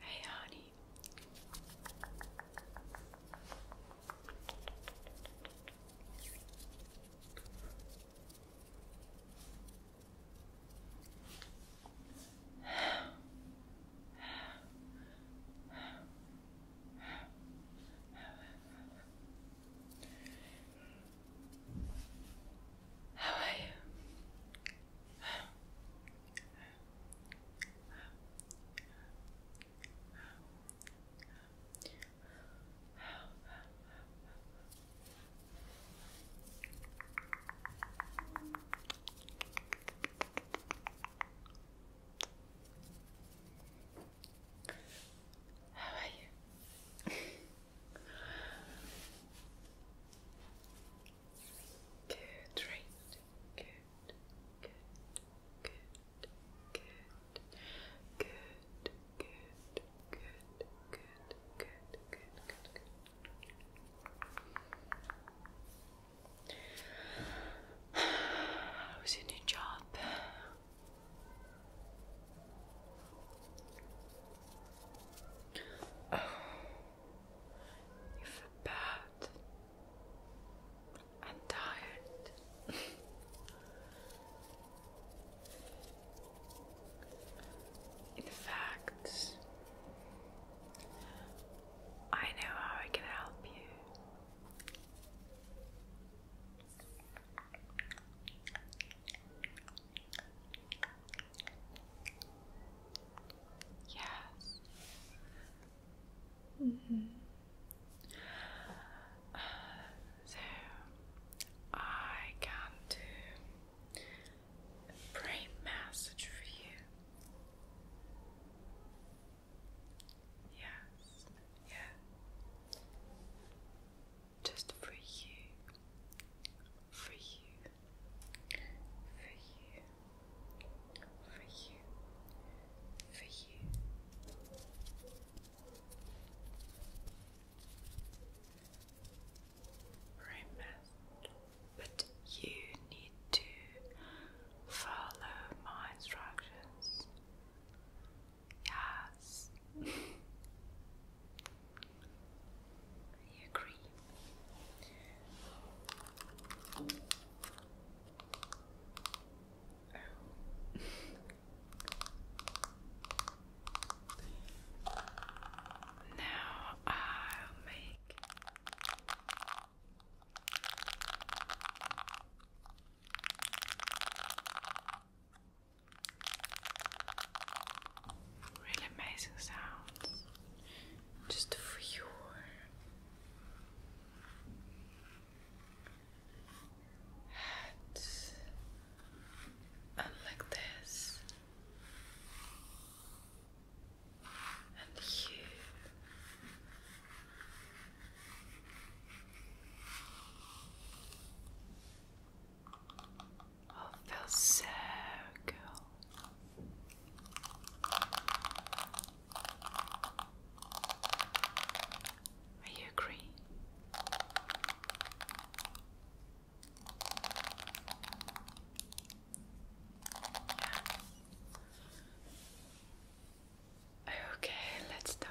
Hey, honey. How are you? How are you? Good, right. Good, good, good, good, good, good, good, good, good, good, good, good. How's your new job? Oh, you feel bad and tired. In fact, I know how I can help you. Yes. Mm -hmm. so I can do brain massage for you. Yes, yeah. Just for you. For you for you, for you, for you. Remember, but you need to follow my instructions. Yes. I agree. Oh. now I'll make Really amazing sounds just for you. And like this, and you. Oh, I feel so good. Are you agree? Yeah. Okay, let's start.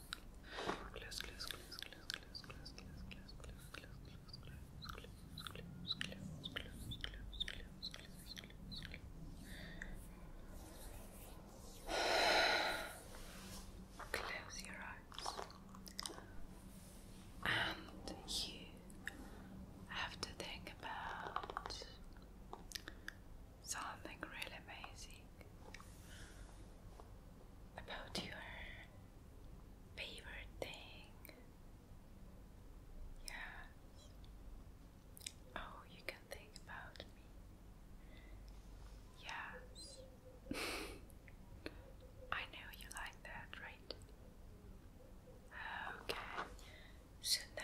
Close, close, close, close, close, close, close, close, close, close, close, close, close, close, close, close, close, close, close, close. Close your eyes. And you have to think about something really amazing about your favorite thing. Yes. Oh, you can think about Yes. I know you like that, right? Okay. So now.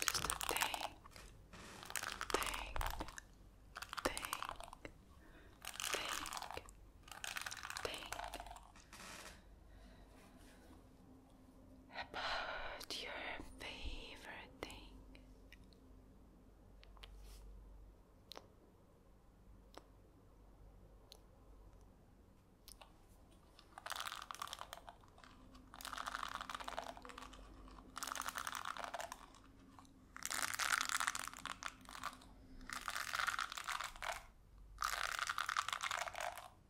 Just a thing, thing, thing, thing, thing about your favorite thing.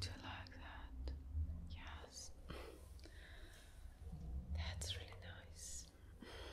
Do you like that? Yes. That's really nice. Okay.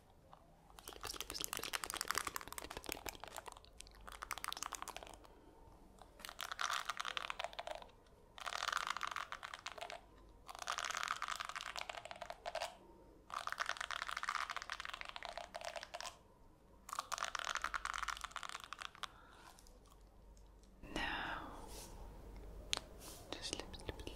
Now, just slip, slip, slip,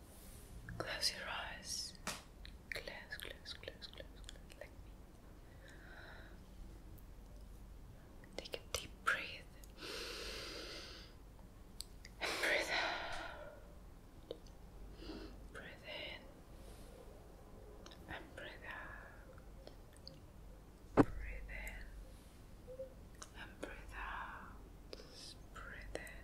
Close your eyes. Close, close, close, close, close, me. Take a deep breath. And breathe out. Breathe in. And breathe out. Breathe in. And breathe out. Breathe in